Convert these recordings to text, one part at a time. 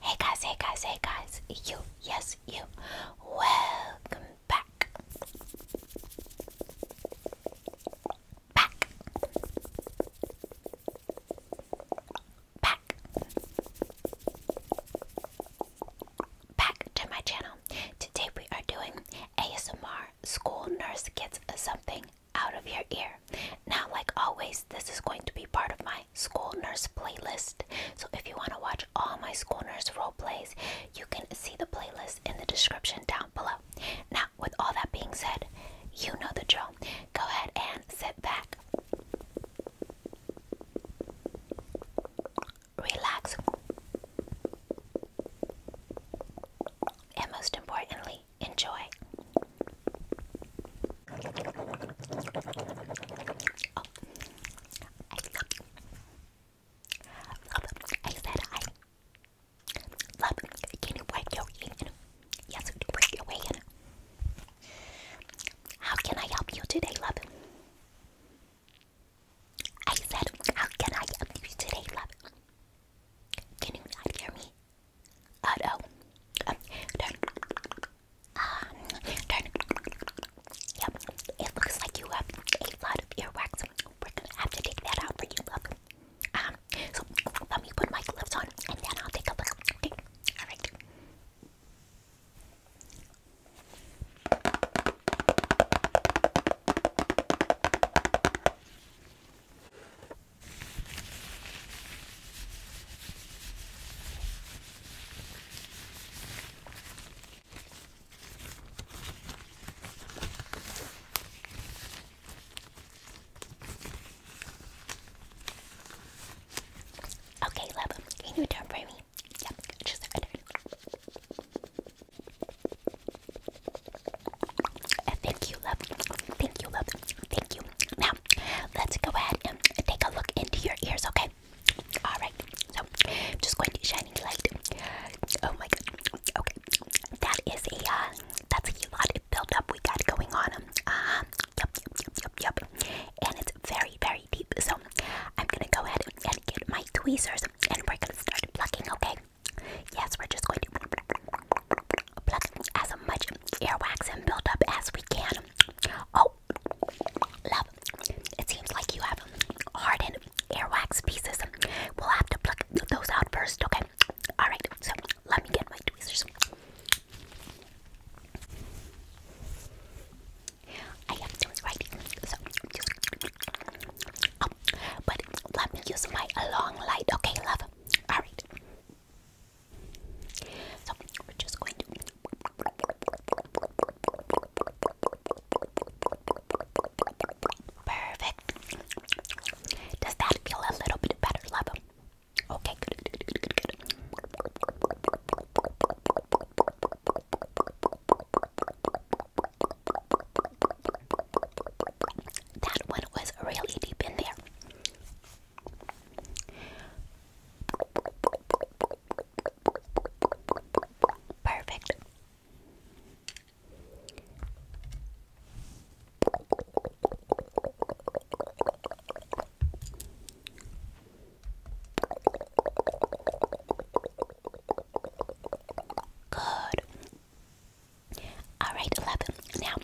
Hey guys, hey guys, hey guys, you, yes, you, welcome back. Back. Back. Back to my channel. Today we are doing ASMR School Nurse Gets Something out of your ear. Now, like always, this is going to be part of my school nurse playlist. So, if you want to watch all my school nurse role plays, you can see the playlist in the description down below. Now, with all that being said, you know the drill. Go ahead and sit back, relax, and most importantly, Enjoy. Oh. I, said I love can you break your in? Yes, you How can I help you today, love? I said, how can I help you today, love? Can you hear me? Uh oh. turn. Um, turn. Yep. It looks like you have a lot of earwax. We're gonna have to take that out for you, Um, so let me put my gloves on and then I'll take a look. Alright. Okay, love, can you turn for me? Yep, Thank you, love. Thank you, love. Thank you. Now, let's go ahead and take a look into your ears, okay? All right. So, I'm just going to shine the light. Oh my god. Okay. That is a uh, that's a lot of buildup we got going on. Um, uh, yep, yep, yep, yep. And it's very, very deep. So, I'm gonna go ahead and get my tweezers, and we're gonna start plucking, okay? Yes, we're just going to pluck as much earwax and buildup as we can. Oh, love, it seems like you have hardened earwax pieces. We'll have to pluck those out first, okay? Alright, so let me get my tweezers. I have to right so just oh, but let me use my long light, okay, love? Alright perfect. Does that feel a little bit better, love? Okay, That one was really deep in there. Perfect. Good. Alright, 11. Now,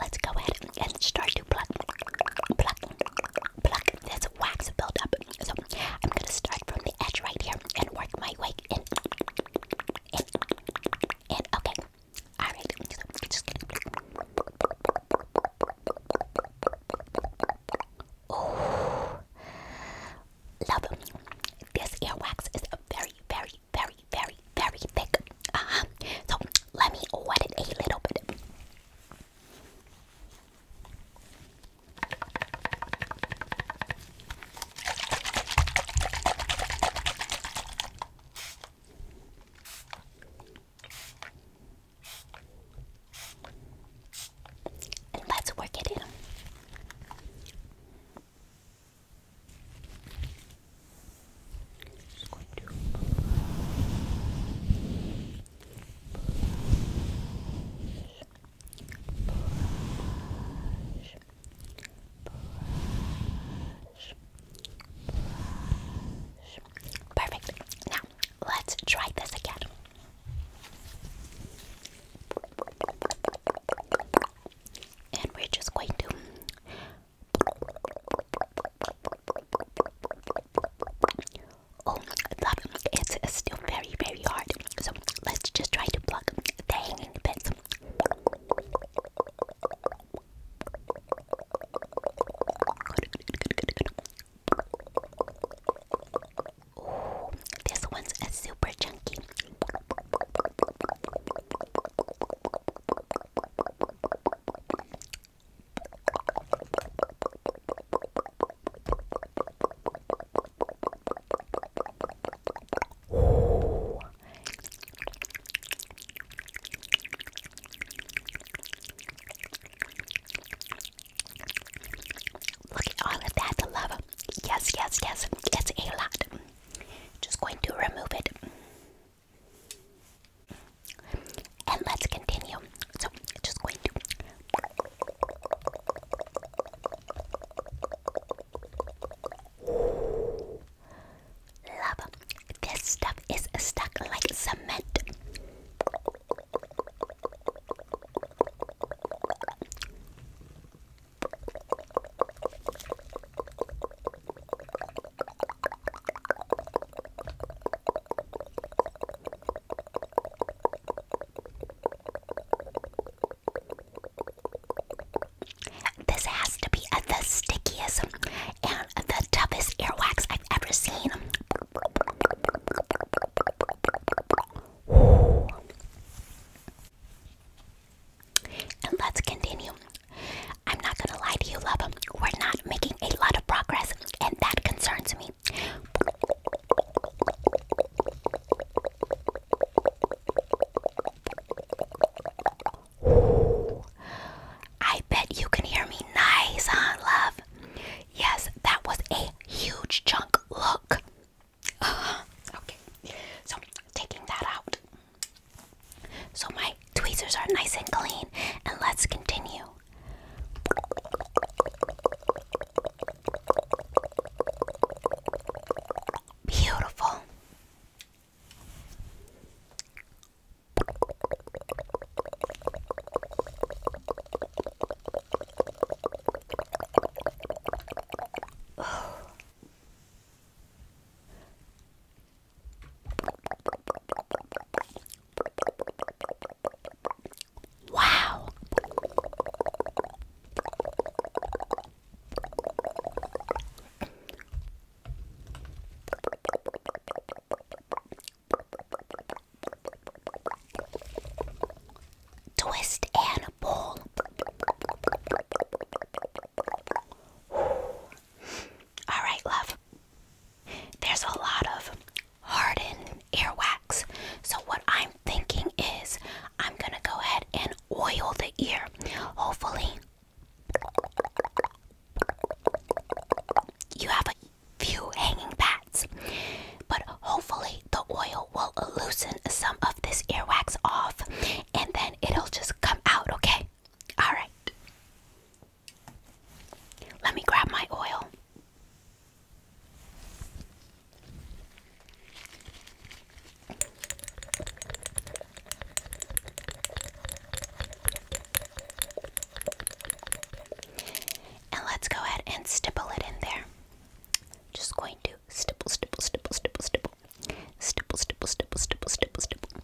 let's go ahead and start to pluck, pluck, pluck this wax build So, I'm gonna start from the edge right here and work my way in. In. In. Okay. Alright. Love. This earwax is very, very, very, very, very, thick. Uh -huh. So let me wet it a little bit. And let's work it in. Perfect. Now let's try this again. And we're just going to Oh, love, it's still very, very hard. So let's just try to pluck the hanging bits. Oh, this one's a super chunky. Look at all of that, love. Yes, yes, yes, it's a lot. Just going to remove it. And let's continue. So, just going to. Love. This stuff is stuck like cement. This has to be the stickiest and the toughest earwax I've ever seen. And let's continue. I'm not gonna lie to you, love. We're not making a lot of progress, and that concerns me. I bet you can hear me nice, huh, love? Yes, that was a huge chunk. Look. okay, so taking that out. So my tweezers are nice and clean, and let's continue. Beautiful. Wow. Twist and pull. All right, love. There's a lot of hardened earwax. So, what I'm thinking is I'm gonna go ahead and oil the ear. Hopefully, you have a few hanging bats, but hopefully, the oil will loosen some of this earwax off and then it'll just come out, okay? All right. Let me grab my oil. And let's go ahead and stipple it in there. Just going to stipple, stipple, stipple, stipple, stipple. Stipple, stipple, stipple, stipple, stipple, stipple.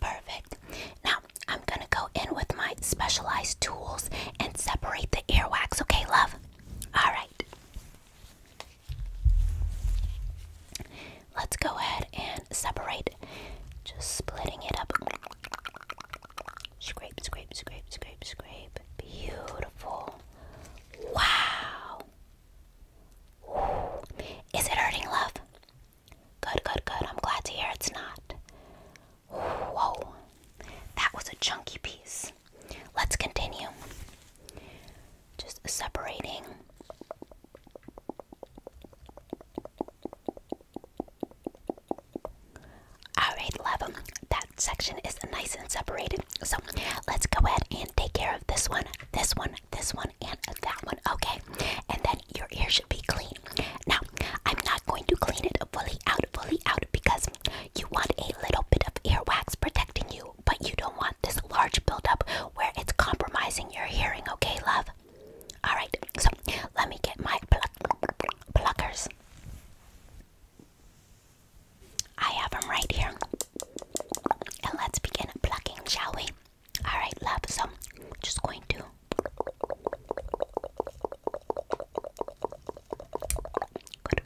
Perfect. Now I'm gonna go in with my specialized tools and separate the earwax, okay, love? Alright. Let's go ahead and separate. Just splitting it up. Scrape, scrape, scrape, scrape, scrape. Beautiful. Wow. Is it hurting, love? Good, good, good. I'm glad to hear it's not. Whoa. That was a chunky piece. Let's continue. Just separating. Alright, love section is nice and separated. So let's go ahead and take care of this one, this one, this one, and that one. Okay, and then your ear should be clean. Now, I'm not going to clean it fully out, fully out because you want a little bit of earwax protecting you, but you don't want this large buildup where it's compromising your hearing. Okay, love. All right, so let me get my pluck pluckers. I have them right here. And let's begin plucking, shall we? Alright, love. So just going to good,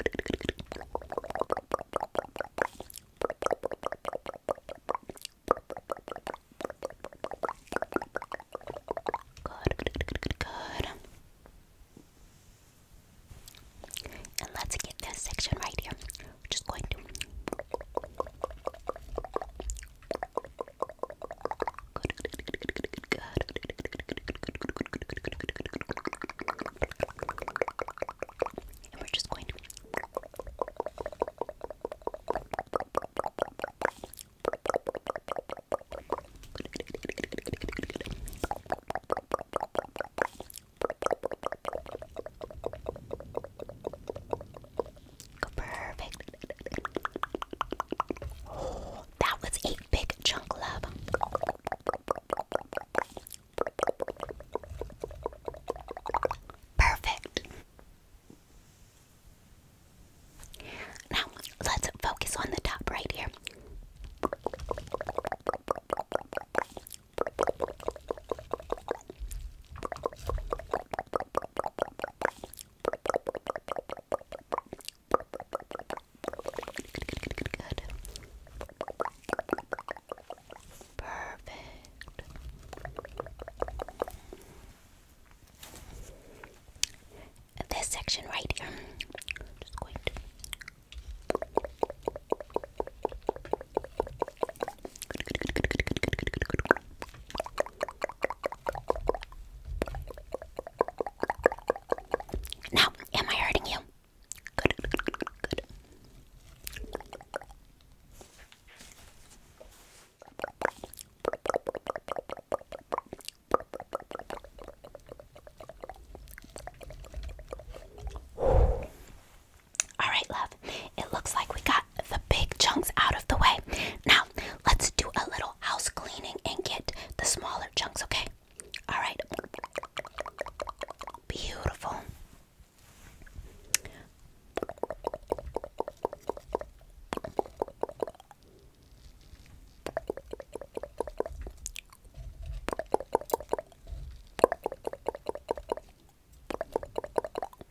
good, good, good. And let's get this section right here. We're just going to and we're just going to perfect. Oh, that was a big chunk love. Perfect. Now let's focus on the top right here. Good. Perfect. This section right here, I'm just going to now, am I hurting you? Good, good, good, good, good. All right, love. It looks like we got the big chunks out of the way. Now, let's do a little house cleaning and get the smaller chunks, okay? All right. Beautiful.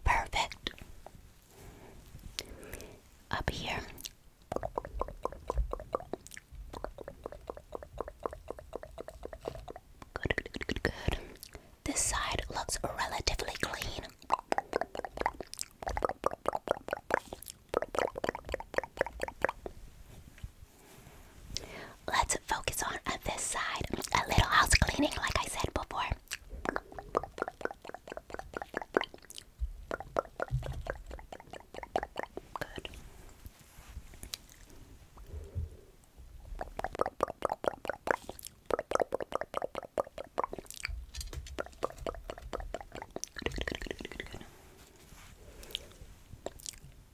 Perfect. Up here. Good, good, good, good, This side looks relatively clean. Let's focus on, this side. A little house cleaning, like I said before.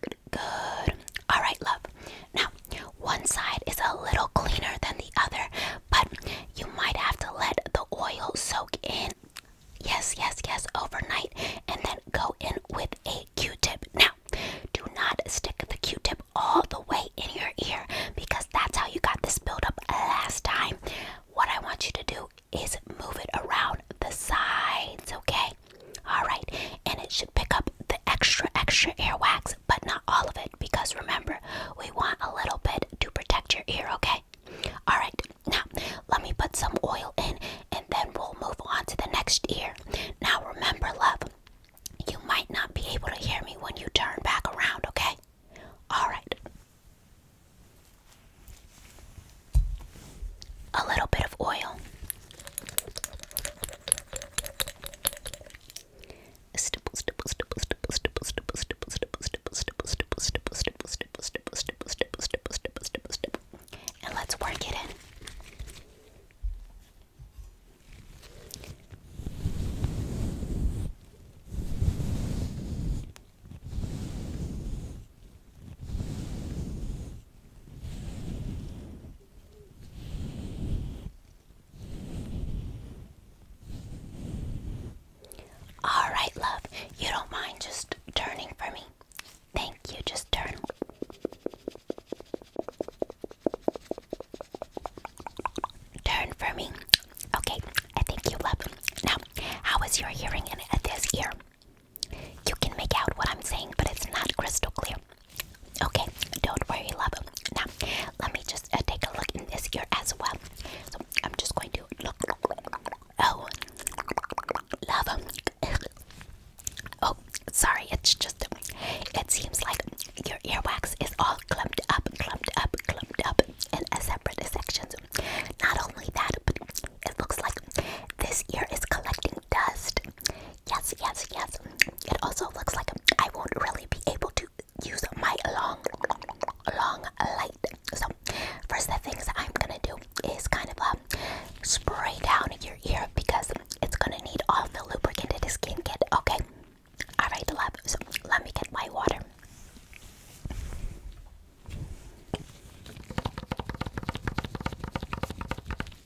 Good. All right, love. Now, one side is a little cleaner than the other, but you might have to let the oil soak in. Yes, yes, yes, overnight, and then go in with a Q-tip. Now, do not stick the Q-tip all the way in your ear because that's how you got this buildup last time. What I want you to do is move it around the sides, okay? All right, and it should pick up the extra, extra wax, but not all of it because remember, we want a little bit to protect your ear, okay? All right, now let me put some oil in and then we'll move on to the next ear. Now, remember, love, you might not be able to hear me when you turn back around, okay? All right. A little bit of oil. And let's work it in. All right, love. You don't mind just turning for me? Thank you. Just turn. Turn for me. Okay, I think you love them. Now, how is your hearing in this ear? You can make out what I'm saying, but it's not crystal clear. Okay, don't worry, love. Now, let me just uh, take a look in this ear as well. So, I'm just going to look. Oh, love. oh, sorry, it's just, it seems like your earwax is all clumped up, clumped up, clumped up in a separate sections. Not only that, but it looks like this ear is collecting dust. Yes, yes, yes. It also looks like I won't really be able to use my long, long light. So, first, things I'm gonna do is kind of um, spray down your ear because it's gonna need all the lubricant it is skin get. Okay. All right, love. So, let me get my water.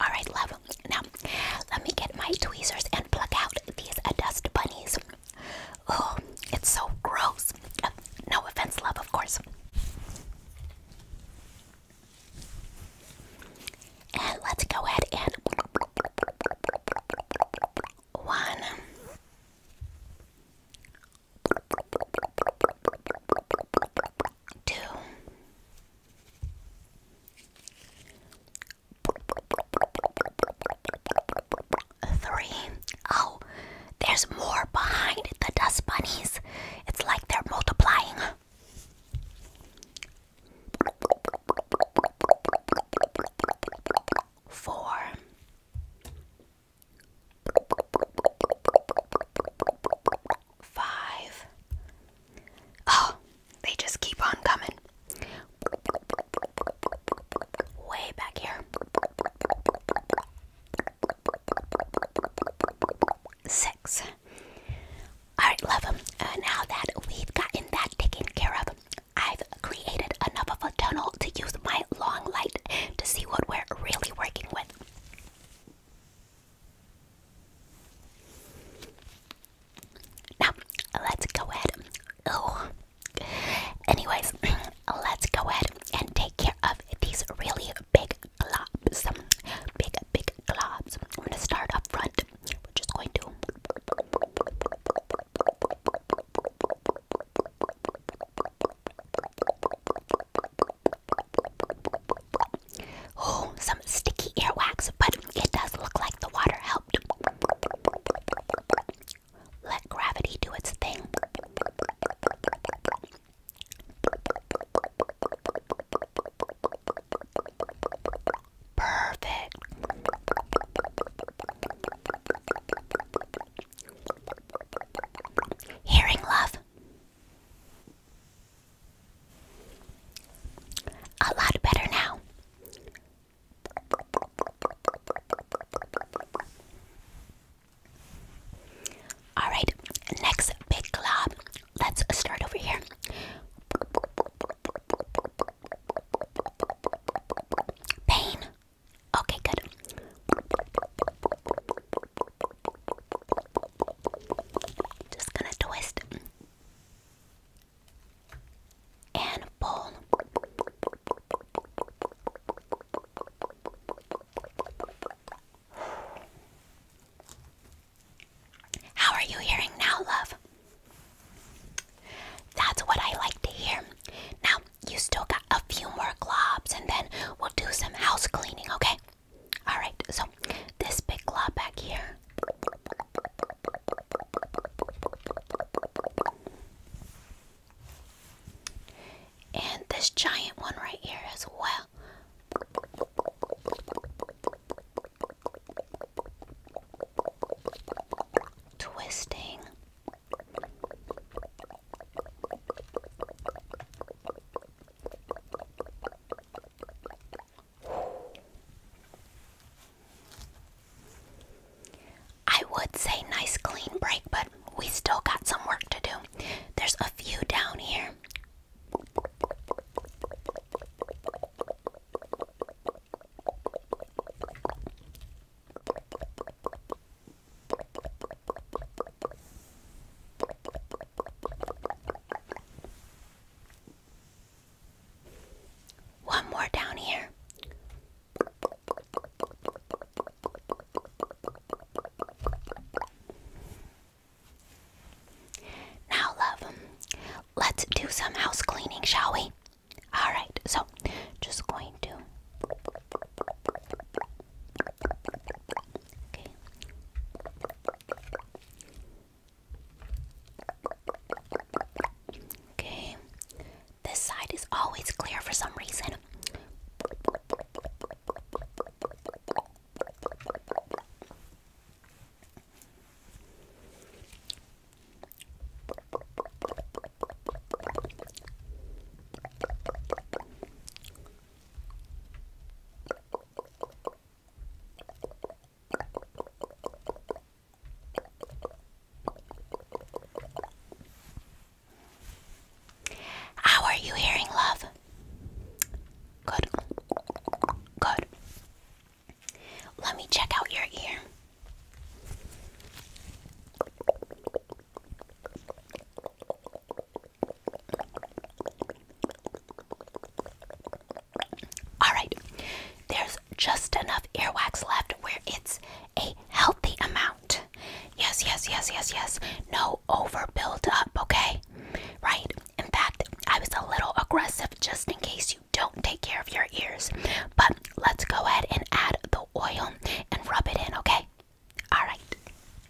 All right, love. Now, let me get my tweezers and pluck out these uh, dust bunnies. Oh, it's so gross. no offense, love, of course. And let's go ahead and one to three. Oh, there's more behind the dust bunnies. It's like they're multiplying. Four five. Oh, they just keep on coming. Way back here. Six. Alright, love them. Uh, now that we've gotten that taken care of, I've created enough of a tunnel to use my long light to see what we're really working with. Now, let's go ahead. Oh. Anyways, let's go ahead and take care of these really big globs. Big, big globs. We're going to start up front. We're just going to. Oh, some sticky earwax, but it does look like the water helped. Let gravity do its thing. Perfect. Hearing love. A lot better now. All right, next big glob. Let's start over here. Pain. Okay, good. Just gonna twist and pull. How are you hearing now, love? That's what I like to hear. Now, you still got a few more globs, and then we'll do some house cleaning, okay? Alright, so this big claw back here. And this giant one right here as well. Twisting. I would say nice clean break, but we still got some work to do. There's a few down here. One more down here. Now, love, let's do some house cleaning, shall we? Alright, so just going to. Okay. Okay. This side is always clear for some reason. How are you hearing, love? Good. Good. Let me check out your ear. Alright, there's just enough earwax left where it's a healthy amount. Yes, yes, yes, yes, yes. No over buildup. okay? Right? In fact, I was a little aggressive just in case you don't take care of your ears. But let's go ahead and add the oil and rub it in, okay? Alright.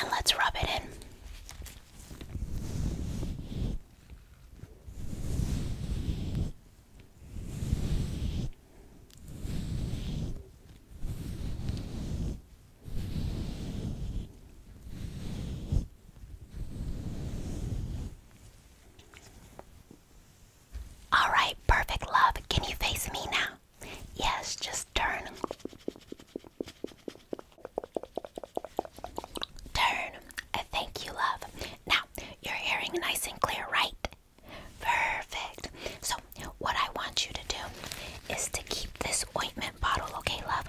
and let's rub it in. All right, perfect love. Can you face me now? Yes, just turn. Turn. I thank you, love. Now, you're hearing nice and clear, right? Perfect. So, what I want you to do is to keep this ointment bottle, okay, love?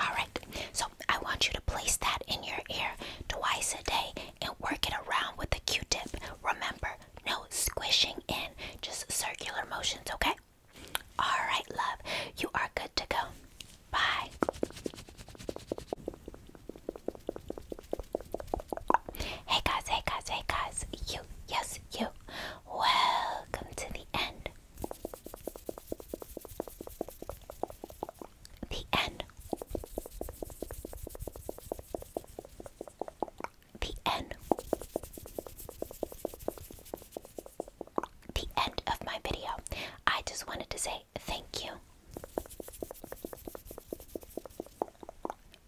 Alright, so I want you to place that in your ear twice a day and work it around with a q tip. Remember, no squishing in, just circular motions, okay? Alright, love. You are good to go. Bye. Hey guys, hey guys, hey guys. You, yes, you. Welcome to the end. The end. The end the end of my video. I just wanted to say thank you.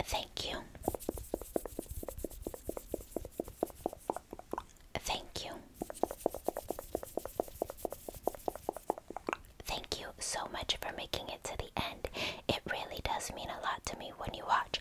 Thank you. Thank you. Thank you so much for making it to the end. It really does mean a lot to me when you watch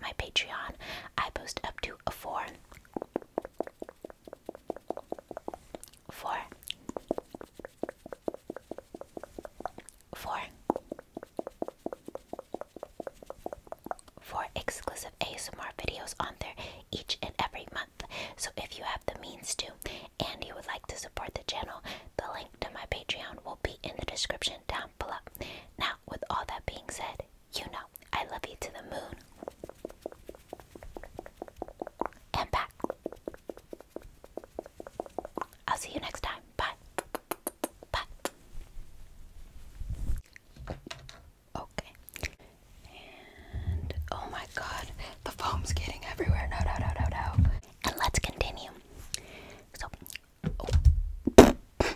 my Patreon. I post up to a four, four, four, four exclusive ASMR videos on there each and every month. So if you have the means to and you would like to support the channel, the link to my Patreon will be in the description down below. Now, with all that being said, you know, I love you to the moon and back. I'll see you next time. Bye. Bye. Okay. And oh my god, the foam's getting everywhere. No, no, no, no, no. And let's continue. So, oh.